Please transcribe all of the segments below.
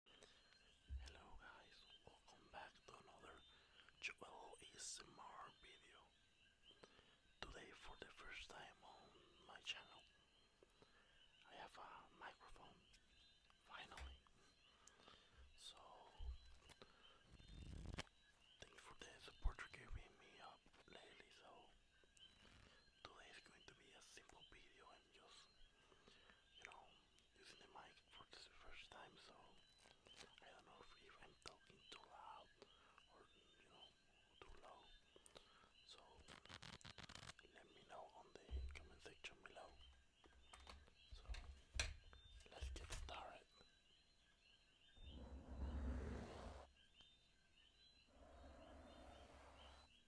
Hello guys, welcome back to another Joel video. Today for the first time on my channel, I have a microphone, finally. So, thanks for the support you're giving me up lately, so today is going to be a simple video and just, you know, using the mic for the first time, so I don't know if, I'm talking too loud or you know too low. So let me know on the comment section below. So let's get started.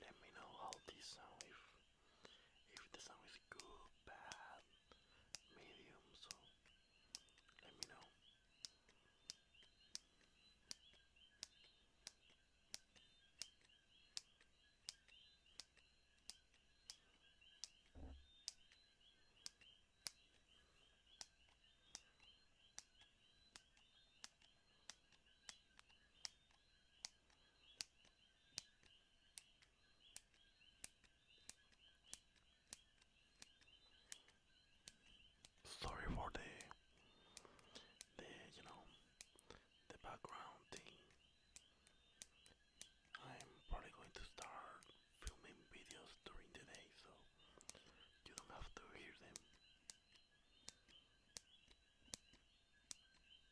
Let me know how this sound if if the sound is good, bad, medium, so let me know. Sorry for the the you know the background thing. I'm probably going to start filming videos during the day so you don't have to hear them.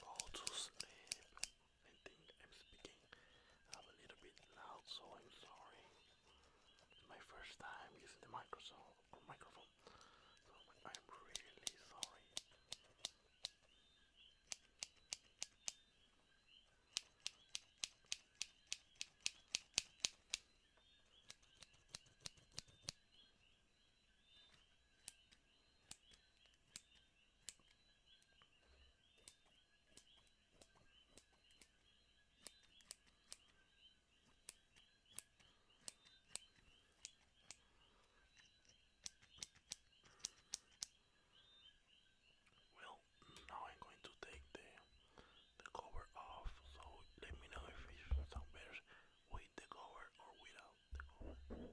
Go to sleep. I think I'm speaking a little bit loud, so I'm sorry. my first time using the microphone. So I'm really sorry. Well, now I'm going to take the the cover off. So let me know if it sounds better with the cover or without the cover.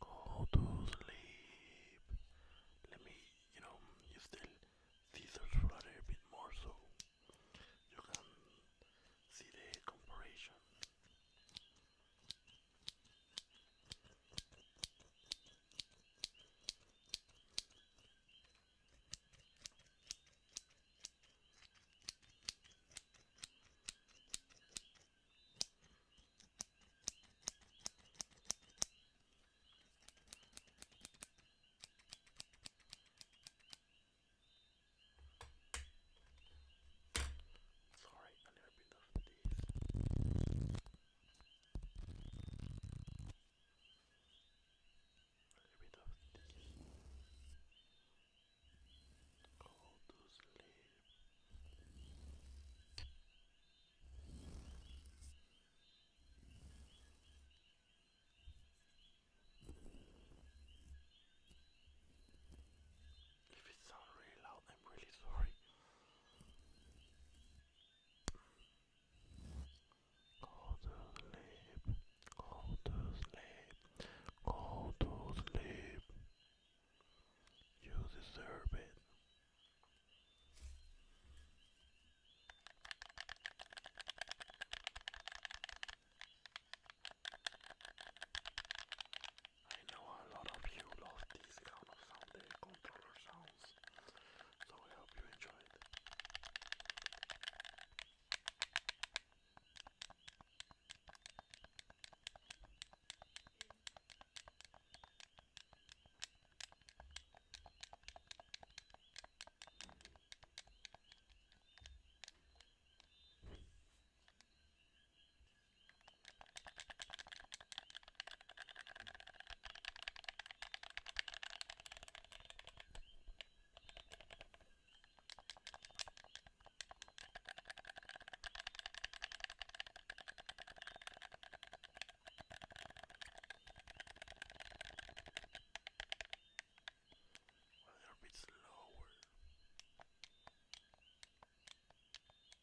Go to sleep. Let me, you know, use the scissors for a little bit more so you can see the comparison. Sorry, I never been enough of these. If it sounds really loud, I'm really sorry. Go to sleep. Go to sleep. Go to sleep. You deserve it. I know a lot of you love these kind of sound, the controller so I hope you enjoyed. A little bit slower.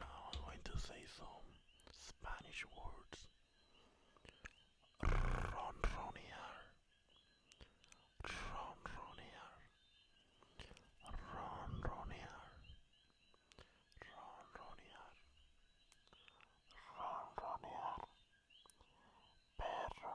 Now I'm going to say some Spanish words. Ronronear. Ronronear. Ronronear. Ronronear. Ronronear. Perro.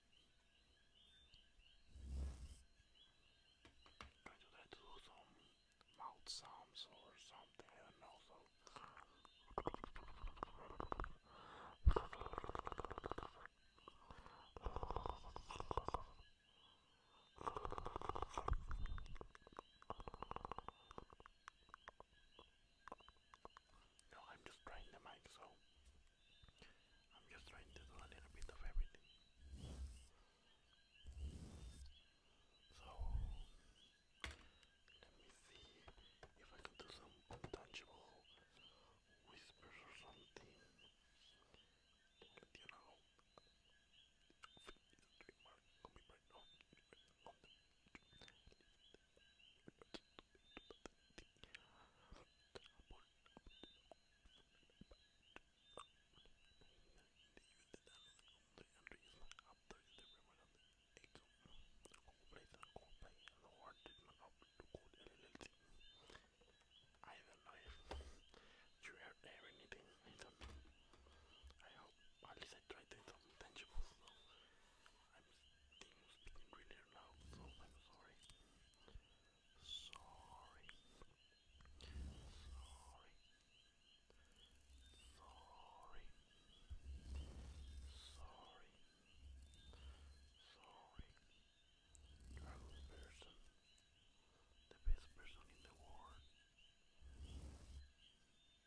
I do that to do some mouth sounds or something, I don't know, so. No, I'm just trying the mic, so I'm just trying to do a little bit of everything. So let me see if I can do some untouchable whispers or something. You know, I don't know if you heard anything. I don't know. I hope at least I tried to do some tangible. So I'm sorry. Sorry. Sorry. Sorry. Sorry. Sorry. Dragon person. The best person in the world.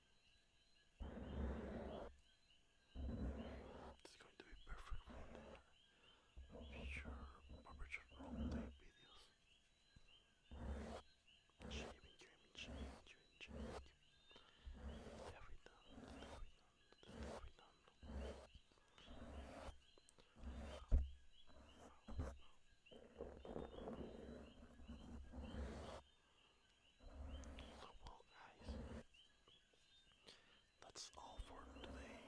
It's going to be perfect for the future barbershop roleplay videos. Shaving, trimming, shaving, trimming, shaving. Every done, every done, every done. Wow. Wow. So, guys, that's all for today.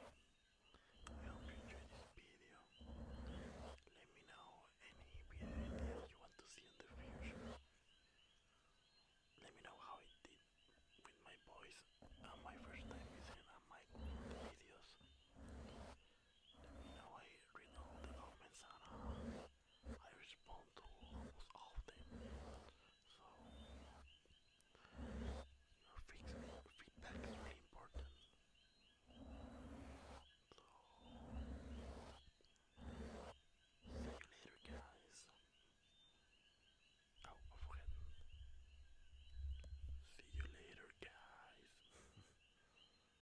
I hope you enjoyed this video. Let me know any video you want to see in the future. Let me know how it did with my voice and my first time using a mic videos. Let me know I read the comments uh, I respond to almost often. So your feedback, is really important. So see you later guys. Oh, I've See you later guys.